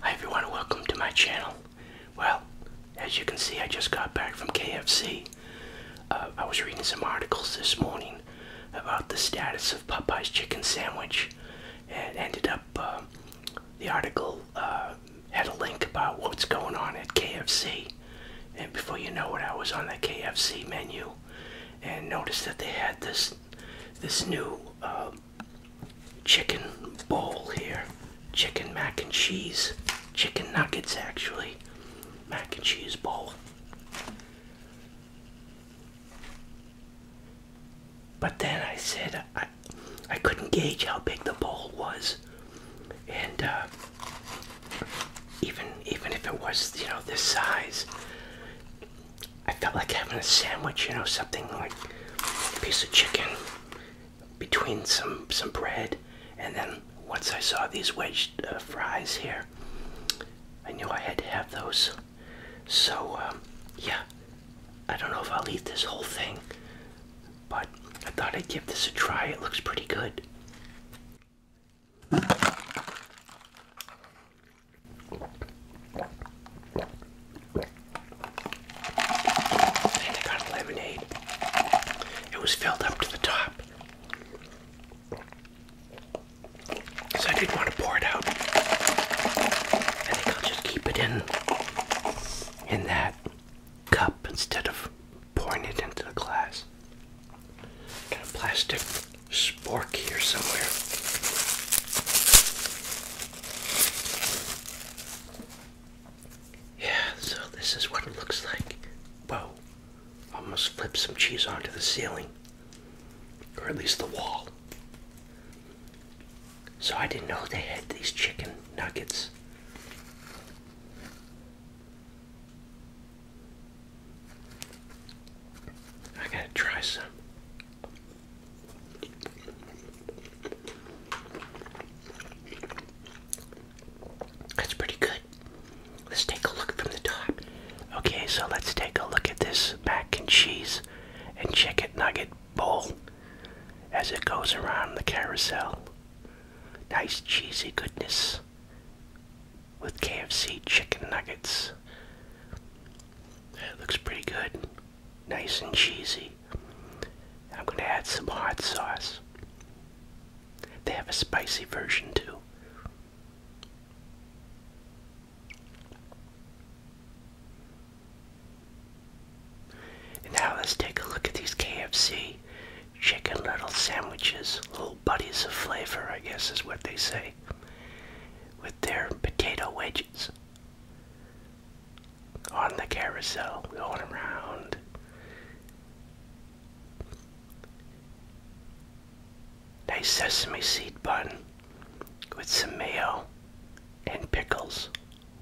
Hi everyone, welcome to my channel. Well, as you can see, I just got back from KFC. Uh, I was reading some articles this morning about the status of Popeye's chicken sandwich and ended up, uh, the article uh, had a link about what's going on at KFC. And before you know it, I was on the KFC menu and noticed that they had this this new um, chicken bowl here, chicken mac and cheese, chicken nuggets actually, mac and cheese bowl. But then I said I, I couldn't gauge how big the bowl was, and uh, even even if it was you know this size, I felt like having a sandwich, you know, something like a piece of chicken between some some bread, and then once I saw these wedged uh, fries here, I knew I had to have those. So um, yeah, I don't know if I'll eat this whole thing, but I thought I'd give this a try. It looks pretty good. And I got lemonade. It was filled up to the top. So I didn't want to pour it out. I think I'll just keep it in in that cup instead of pouring it into the glass. Got a plastic spork here somewhere. Yeah, so this is what it looks like. Whoa, almost flipped some cheese onto the ceiling, or at least the wall. So I didn't know they had these chicken nuggets. I gotta try some. That's pretty good. Let's take a look from the top. Okay, so let's take a look at this mac and cheese and chicken nugget bowl as it goes around the carousel. Nice cheesy goodness with KFC chicken nuggets. It looks pretty good, nice and cheesy. I'm going to add some hot sauce. They have a spicy version too. now let's take a look at these KFC chicken little sandwiches, buddies of flavor, I guess is what they say, with their potato wedges on the carousel going around. Nice sesame seed bun with some mayo and pickles.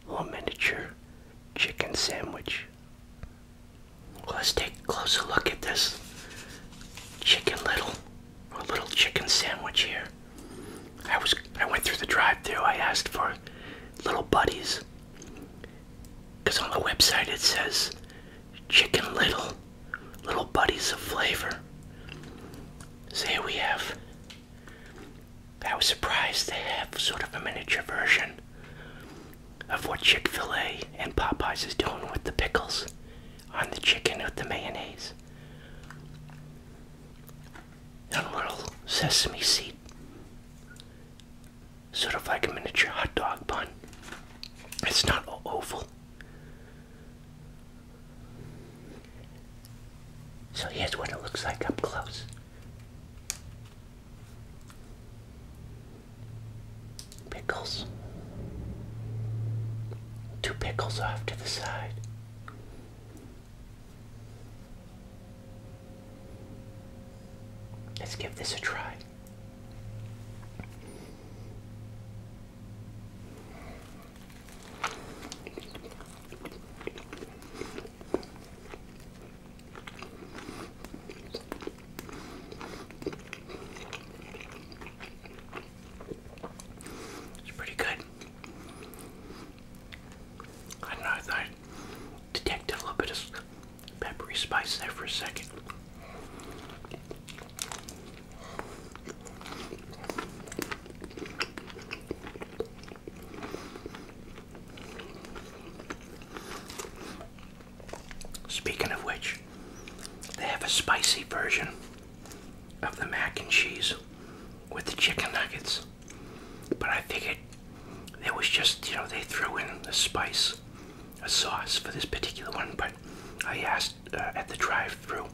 Little miniature chicken sandwich let's take a closer look at this chicken little or little chicken sandwich here. I was I went through the drive through I asked for little buddies because on the website it says chicken little little buddies of flavor. So here we have. I was surprised they have sort of a miniature version of what Chick fil A and Popeyes is doing with the pickles on the chicken with the mayonnaise. And little sesame seed. Sort of like a miniature hot dog bun. It's not oval. So here's what it looks like up close pickles. Two pickles off to the side. Let's give this a try. It's pretty good. I know, I detected a little bit of peppery spice there for a second. Speaking of which, they have a spicy version of the mac and cheese with the chicken nuggets. But I figured it was just, you know, they threw in the spice, a sauce for this particular one. But I asked uh, at the drive through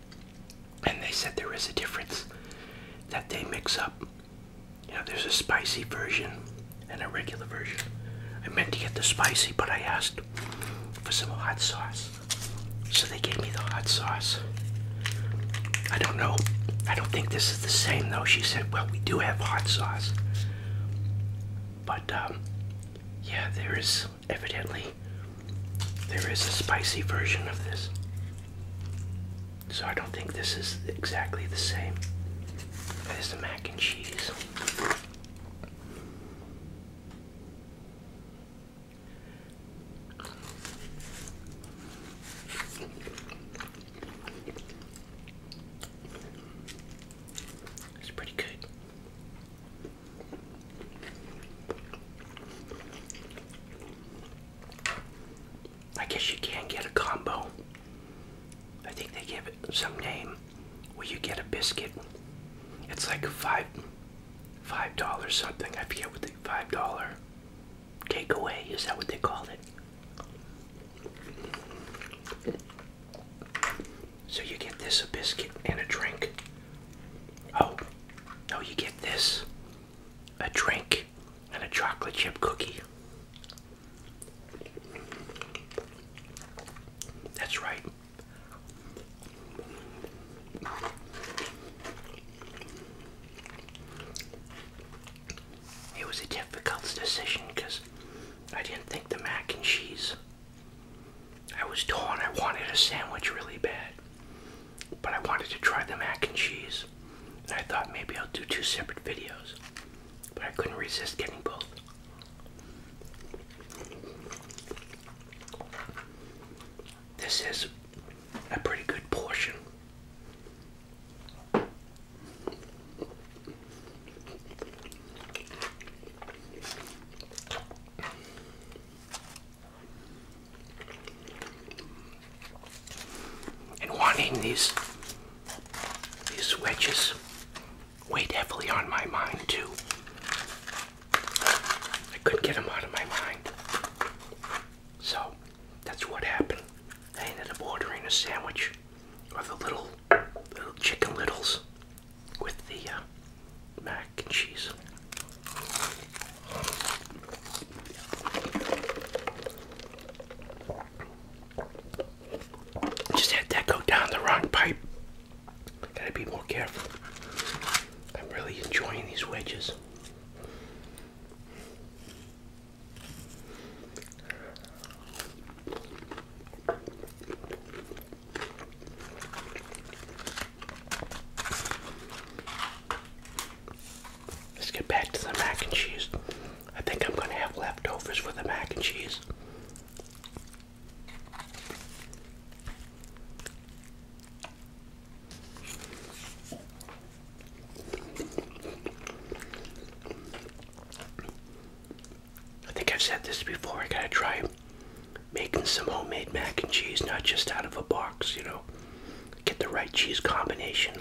and they said there is a difference that they mix up. You know, there's a spicy version and a regular version. I meant to get the spicy, but I asked for some hot sauce. So they gave me the hot sauce. I don't know. I don't think this is the same though. She said, well, we do have hot sauce. But um, yeah, there is evidently there is a spicy version of this. So I don't think this is exactly the same as the mac and cheese. It's pretty good. I guess you can not get a combo I think they give it some name where you get a biscuit. It's like five five dollars something. I forget what the five dollar takeaway is that what they call it. So you get this a biscuit and a drink. Oh no you get this a drink and a chocolate chip cookie. That's right. It was a difficult decision because I didn't think the mac and cheese. I was torn. I wanted a sandwich really bad, but I wanted to try the mac and cheese. And I thought maybe I'll do two separate videos but I couldn't resist getting both. This is a pretty good portion. And one in these these wedges weigh heavily on my mind too. I couldn't get them out of my mind. So that's what happened. I ended up ordering a sandwich with the little little chicken littles with the uh, mac and cheese. Just had that go down the wrong pipe. Gotta be more careful. I'm really enjoying these wedges. Let's get back to the mac and cheese. I think I'm going to have leftovers for the mac and cheese. I think I've said this before. I gotta try making some homemade mac and cheese, not just out of a box, you know. Get the right cheese combination.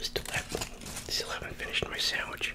Still haven't, still haven't finished my sandwich.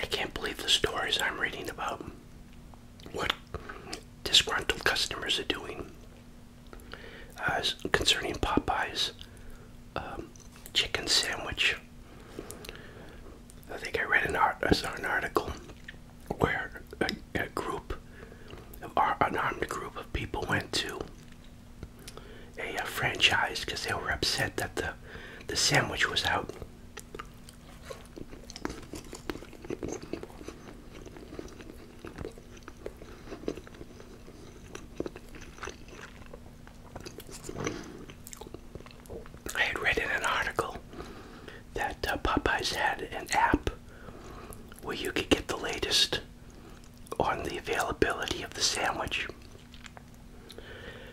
I can't believe the stories I'm reading about what disgruntled customers are doing uh, concerning Popeye's um, chicken sandwich. I think I read an, art an article where uh, a group, an unarmed group of people went to a, uh, franchise because they were upset that the the sandwich was out. I had read in an article that uh, Popeyes had an app where you could get the latest on the availability of the sandwich.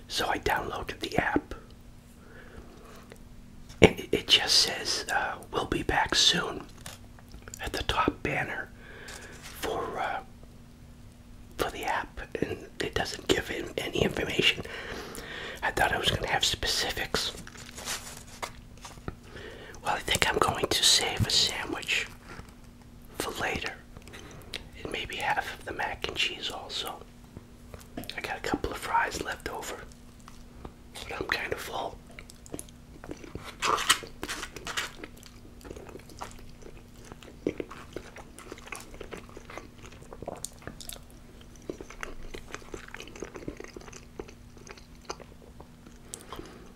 So I downloaded the app, and it, just says, uh, We'll be back soon at the top banner for. Uh, for the app and it doesn't give any information. I thought I was going to have specifics well, I think I'm going to save a sandwich for later. And maybe half of the mac and cheese also. I got a couple of fries left over. But I'm kind of full.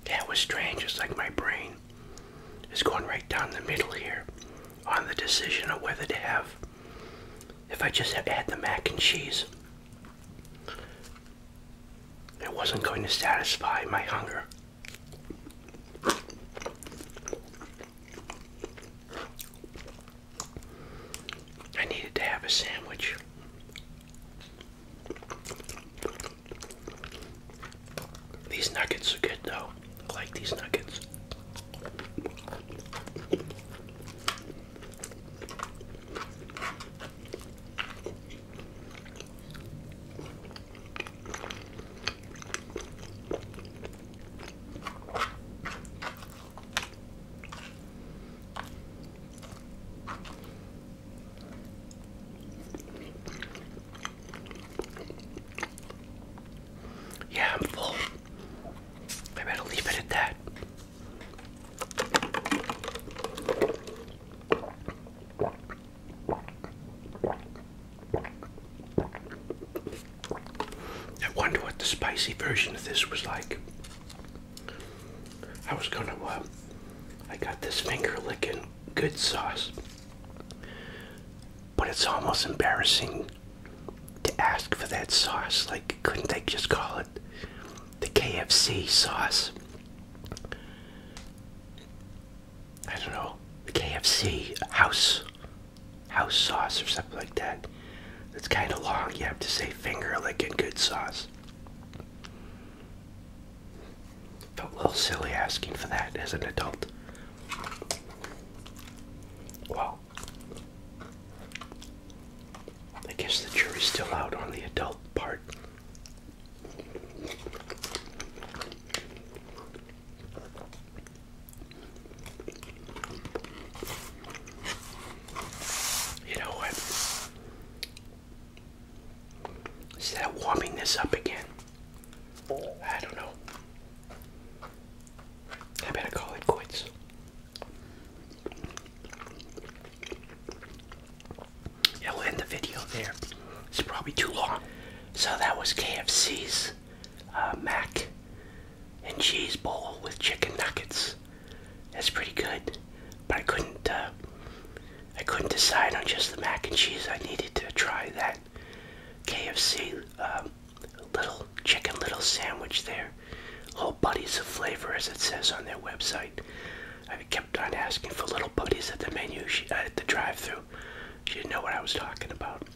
That was strange. It's like my brain is going right down the middle here on the decision of whether to have, if I just add the mac and cheese, it wasn't going to satisfy my hunger. I needed to have a sandwich. These nuggets are good though. I like these nuggets. Yeah, I'm full. I better leave it at that. I wonder what the spicy version of this was like. I was gonna, uh, I got this finger licking good sauce, but it's almost embarrassing to ask for that sauce. Like, couldn't they just call it the KFC sauce? I don't know, the KFC house house sauce or something like that. That's kind of long. You have to say finger licking good sauce. Felt a little silly asking for that as an adult. Well, I guess the jury's still out on the adult part. You know what? Is that warming this up again? I don't know. I better call it quits. Yeah, we'll end the video there. It's probably too long. So that was KFC's uh, mac and cheese bowl with chicken nuggets. That's pretty good, but I couldn't. Uh, I couldn't decide on just the mac and cheese. I needed to try that KFC um, little chicken little sandwich there. Little buddies of flavor, as it says on their website. I kept on asking for little buddies at the menu, she, uh, at the drive-through. She didn't know what I was talking about.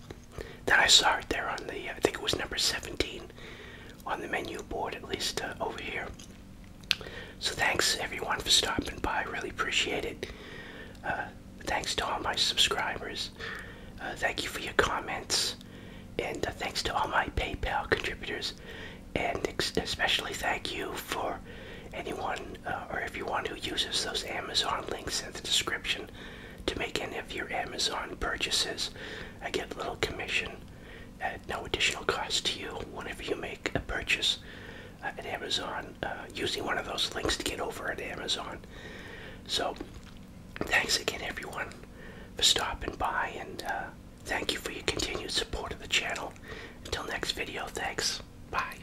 Then I saw it there on the, I think it was number 17 on the menu board, at least uh, over here. So thanks everyone for stopping by. Really appreciate it. Uh, thanks to all my subscribers. Uh, thank you for your comments. And thanks to all my PayPal contributors. And especially thank you for anyone uh, or everyone who uses those Amazon links in the description to make any of your Amazon purchases. I get a little commission at no additional cost to you whenever you make a purchase uh, at Amazon uh, using one of those links to get over at Amazon. So, thanks again, everyone, for stopping by, and uh, thank you for your continued support of the channel. Until next video, thanks. Bye.